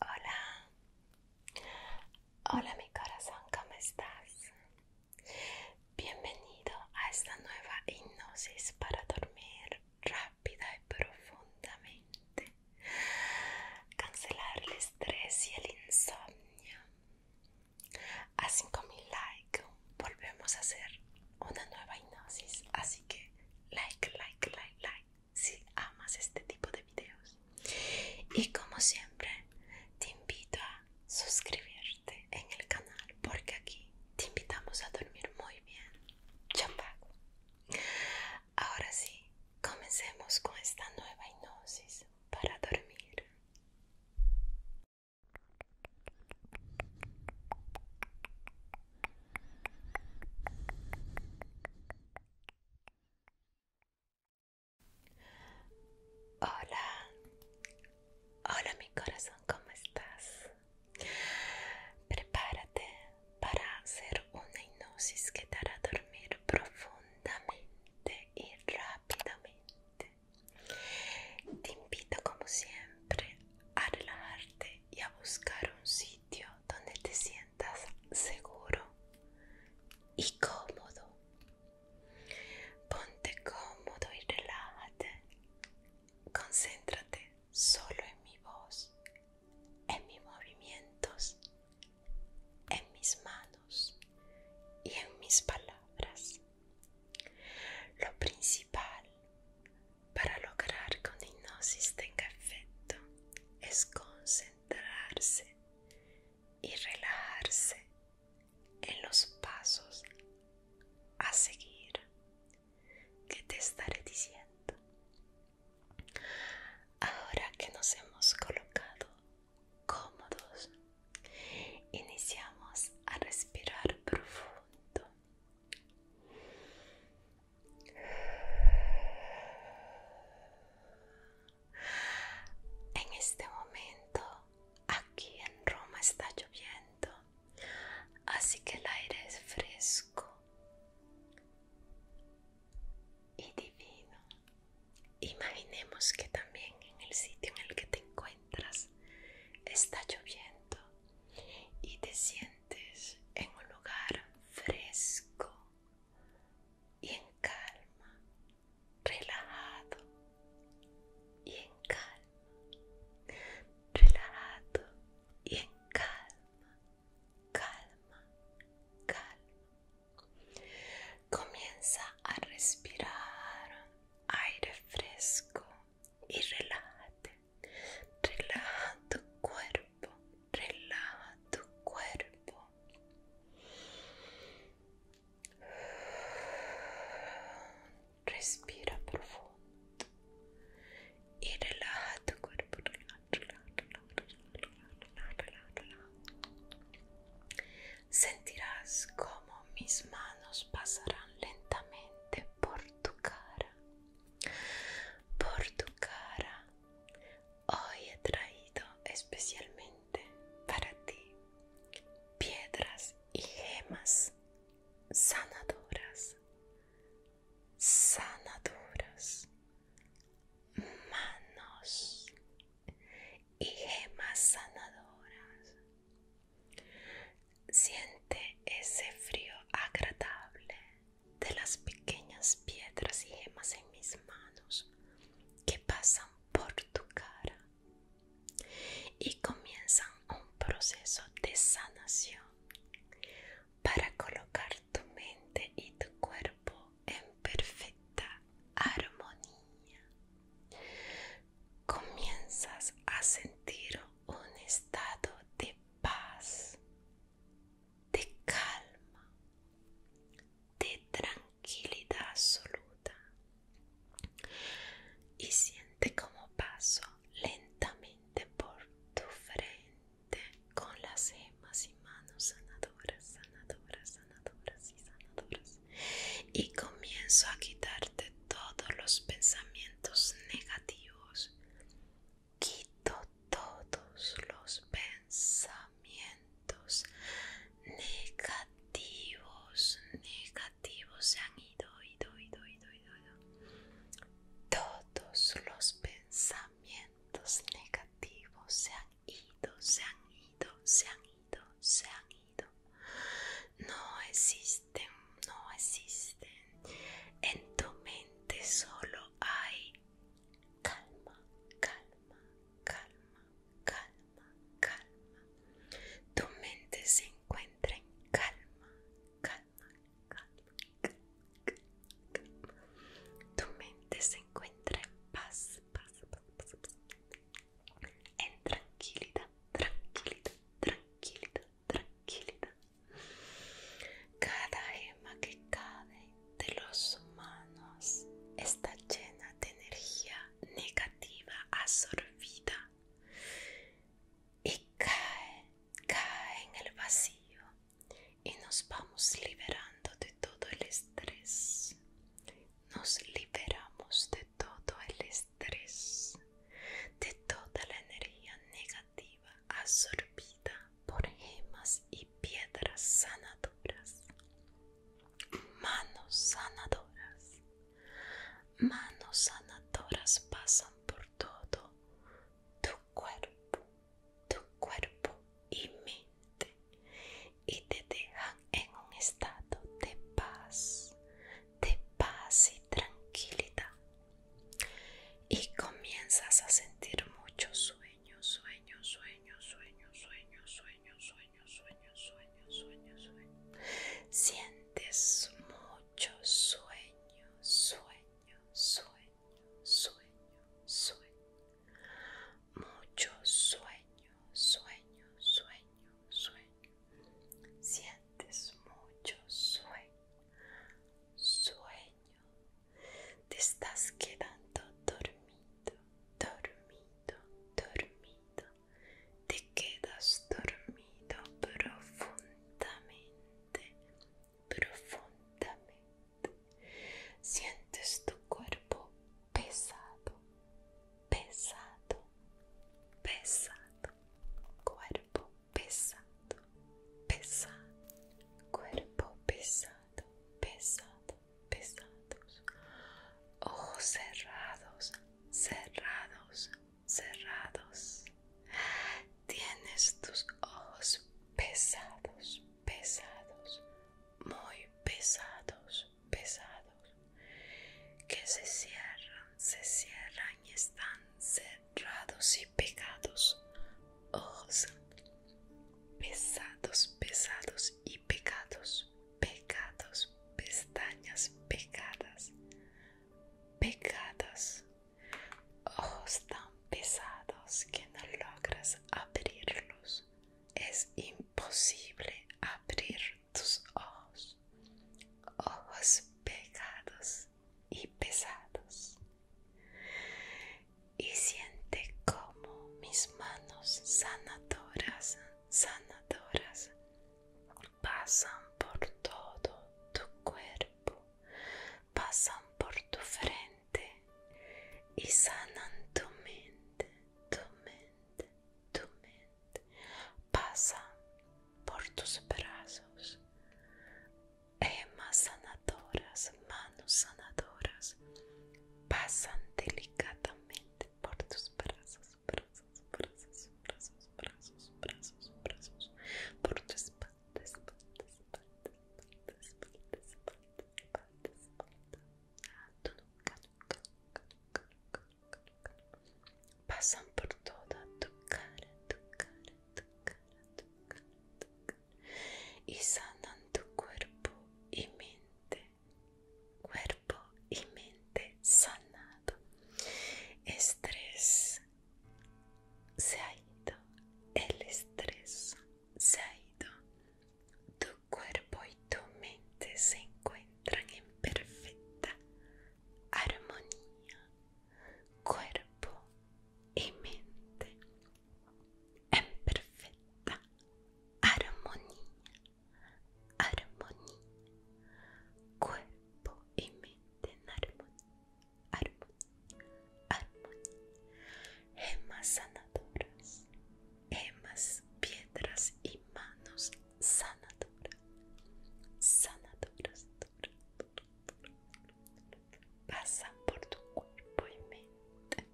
Hola, hola mi corazón, ¿cómo estás? Bienvenido a esta nueva hipnosis para dormir rápida y profundamente, cancelar el estrés y el insomnio. A 5000 likes volvemos a hacer una nueva hipnosis, así que like, like, like, like si amas este tipo de videos. Y como siempre, te invito a suscribirte en el canal porque aquí te invitamos a dormir muy bien. Champago. Ahora sí, comencemos con esta nueva hipnosis para dormir. Hola, hola mi corazón, ¿cómo estás? Prepárate para hacer una hipnosis que te hará dormir profundamente y rápidamente. Te invito como siempre a relajarte y a buscar un sitio donde te sientas sientas seguro y cómodo. Ponte cómodo y relájate. Concéntrate solo en mi voz, en mis movimientos, en mis manos y en mis palabras. Lo principal para lograr que una hipnosis tenga efecto es concentrarse y relajarse en los pasos a seguir que te estaré diciendo. Ahora que nos hemos colocado cómodos, iniciamos a respirar profundo. En este momento aquí en Roma está lloviendo, así que el aire es fresco y divino. Imaginemos que también en el sitio en el que te encuentras está lloviendo y te sientes en un lugar fresco y en calma, relajado y en calma, relajado y en calma, calma, calma. Comienza a respirar aire fresco y relájate relaja tu cuerpo, relaja tu cuerpo. Respira profundo y relaja tu cuerpo. Sentirás como mis manos pasarán lentamente por tu cara, por tu cara, Hoy he traído especialmente para ti piedras y gemas sanadoras, sanadoras, manos y gemas sanadoras. Siente ese frío agradable de las pequeñas piedras y gemas en mis manos que pasan por tu cara y comienzan un proceso de sanación para colocar tu mente y tu cuerpo en perfecta armonía. Comienzas a sentir un estado de paz de calma, de tranquilidad absoluta y siente como paso lentamente por tu frente con las hemas y manos sanadoras, sanadoras, sanadoras y sanadoras y comienzo a quitarte todos los pensamientos negativos quito todos los pensamientos negativos, negativos se han ido, ido, ido, ido, ido, ido. Todos los pensamientos negativos se han ido, se han ido, se han ido, se han ido. No existen, no existen. En tu mente solo Ay, calma, calma, calma, calma, calma. Tu mente se encuentra en calma, calma, calma, calma, Tu mente se encuentra en paz, paz, paz, paz. en tranquilidad, tranquilidad, tranquilidad, tranquilidad. Cada gema que cae de los humanos está llena de energía negativa absorbida y cae, cae en el vacío y nos vamos liberando de todo el estrés. Nos liberamos de todo el estrés, de toda la energía negativa absorbida por gemas y piedras sanadoras. Manos sanadoras. Manos sanadoras pasan por todo tu cuerpo, tu cuerpo y mente y te dejan en un estado de paz, de paz y tranquilidad y comienzas a sentir mucho sueños, sueño, sueño, sueño, sueño, sueño, sueño, sueño, sueño, sueño, sueños. Sientes mucho sueño, sueño, sueño, sueño, sueño. Mucho sueño, sueño, sueño, sueño. Sientes mucho sueño, sueño te estás quedando dormido, dormido, dormido. Te quedas dormido profundamente, profundamente. Sientes tu cuerpo pesado, pesado, pesado. Cuerpo pesado, pesado, cuerpo pesado, pesado, pesados, ojos cerrados, cerrados, cerrados. Tienes tus ojos pesados, pesados, muy pesados, pesados, que se cierran, se cierran están cerrados y pegados, ojos pesados, pesados y pegados, pegados, pestañas pegadas, pegadas, ojos tan pesados que no logras abrirlos. Es imposible abrir tus ojos. Ojos pegados y pesados. Y siente como mis manos sanadoras, sanadoras pasan por todo tu cuerpo, pasan por tu frente y sanan tu mente, tu mente, tu mente, pasan por tus brazos, Emas eh, sanadoras, manos sanadoras pasan delicadamente por tus brazos, brazos, brazos, brazos, brazos, brazos, brazos, por tu espalda, espalda, espalda, espalda, espalda, espalda, Pasan por toda tu cara, tu cara, y sanan tu cuerpo y mente. Cuerpo y mente sanado. Estrés se ha ido. El estrés se ha ido. Tu cuerpo y tu mente se encuentran en perfecta armonía cuerpo y mente en perfecta armonía, armonía, cuerpo y mente en armonía, armonía, armonía. Gemas sanadoras, gemas, piedras y manos sanadoras, sanadoras, pasa por tu cuerpo y mente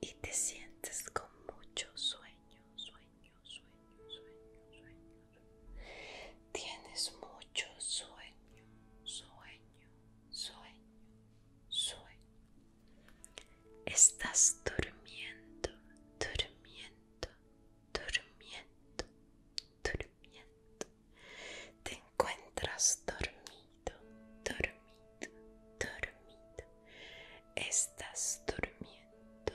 y te sientes con mucho sueño, sueño, sueño, sueño, sueño. Tienes mucho sueño, sueño, sueño, sueño. Estás durmiendo, durmiendo, durmiendo, durmiendo. Te encuentras dormido, dormido, dormido. Estás durmiendo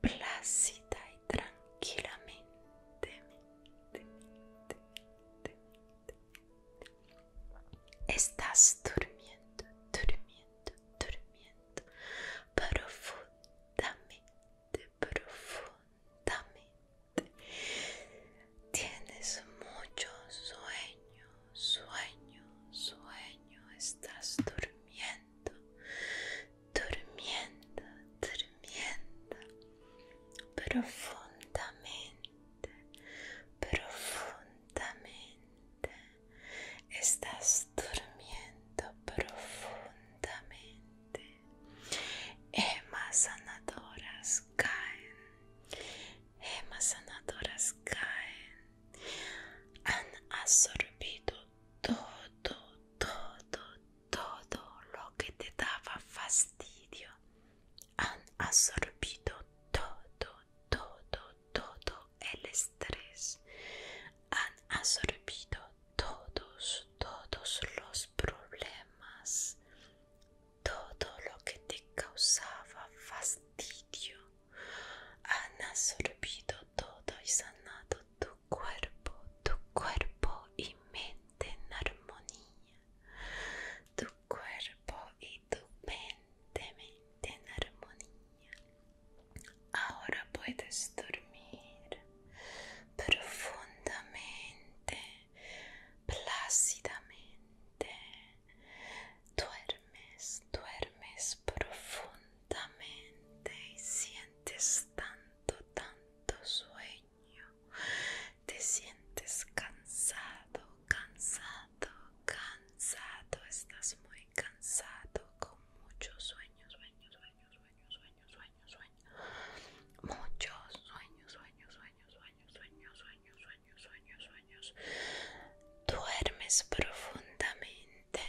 plácida y tranquilamente. Estás durmiendo, durmiendo, durmiendo. Profundamente, profundamente. Tienes mucho sueño, sueño, sueño. Estás durmiendo, durmiendo, durmiendo. Profundamente, profundamente. Estás durmiendo profundamente más sanadoras caen. más sanadoras caen. Han absorbido todo, todo, todo lo que te daba fastidio. Han absorbido todo, todo, todo el estrés. Han absorbido todos, todos los problemas, todo lo que te causaba fastidio, han absorbido todo y sanado tu cuerpo, tu cuerpo y mente en armonía, tu cuerpo y tu mente, mente en armonía. Ahora puedes dormir, profundamente, plácidamente. Duermes, duermes profundamente y sientes tanto, tanto sueño. Te sientes cansado, cansado, cansado. Estás muy cansado con muchos sueños, sueños sueños, sueño, Muchos sueños, sueños, sueños, sueños, sueños, sueños, sueños, sueños, sueños. Duermes profundamente.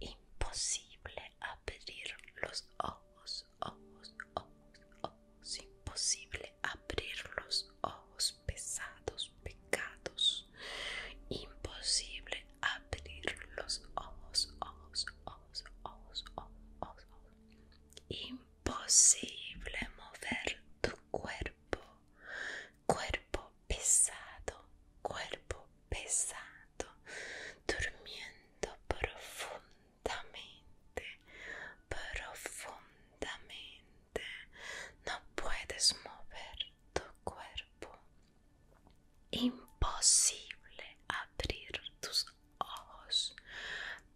Imposible abrir los ojos, ojos, ojos, ojos. Imposible abrir los ojos pesados, pecados. Imposible abrir los ojos, ojos, ojos. Imposible mover tu cuerpo. Cuerpo pesado, cuerpo pesado. Durmiendo profundamente, profundamente. No puedes mover tu cuerpo. Imposible abrir tus ojos ojos,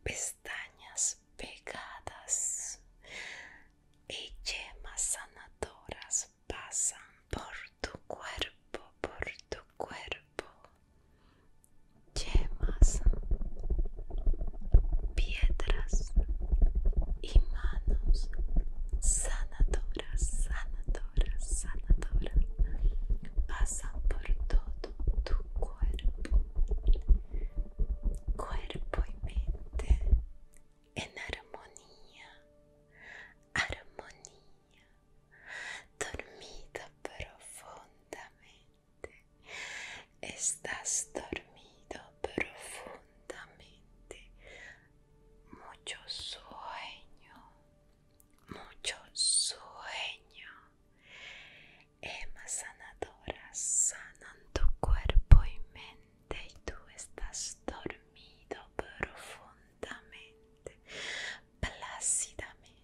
pestañas pegadas y gemas sanadoras pasan por tu cuerpo, por tu cuerpo. Yemas, piedras y manos sanadoras, sanadoras, sanadoras. Pasan pasa por todo tu cuerpo, cuerpo y mente en armonía, armonía, dormida profundamente, estás dormido profundamente, mucho sueño mucho sueño. Emma sanadora, sanan tu cuerpo y mente y tú estás dormido profundamente, plácidamente.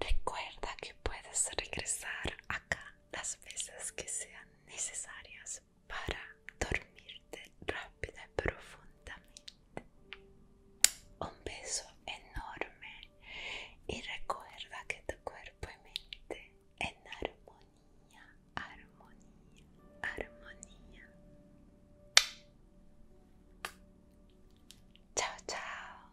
Recuerda que puedes regresar acá las veces que sean necesarias para dormirte rápida y profundamente. Un beso enorme y recuerda que tu cuerpo y mente en armonía, armonía, armonía. Chao, chao.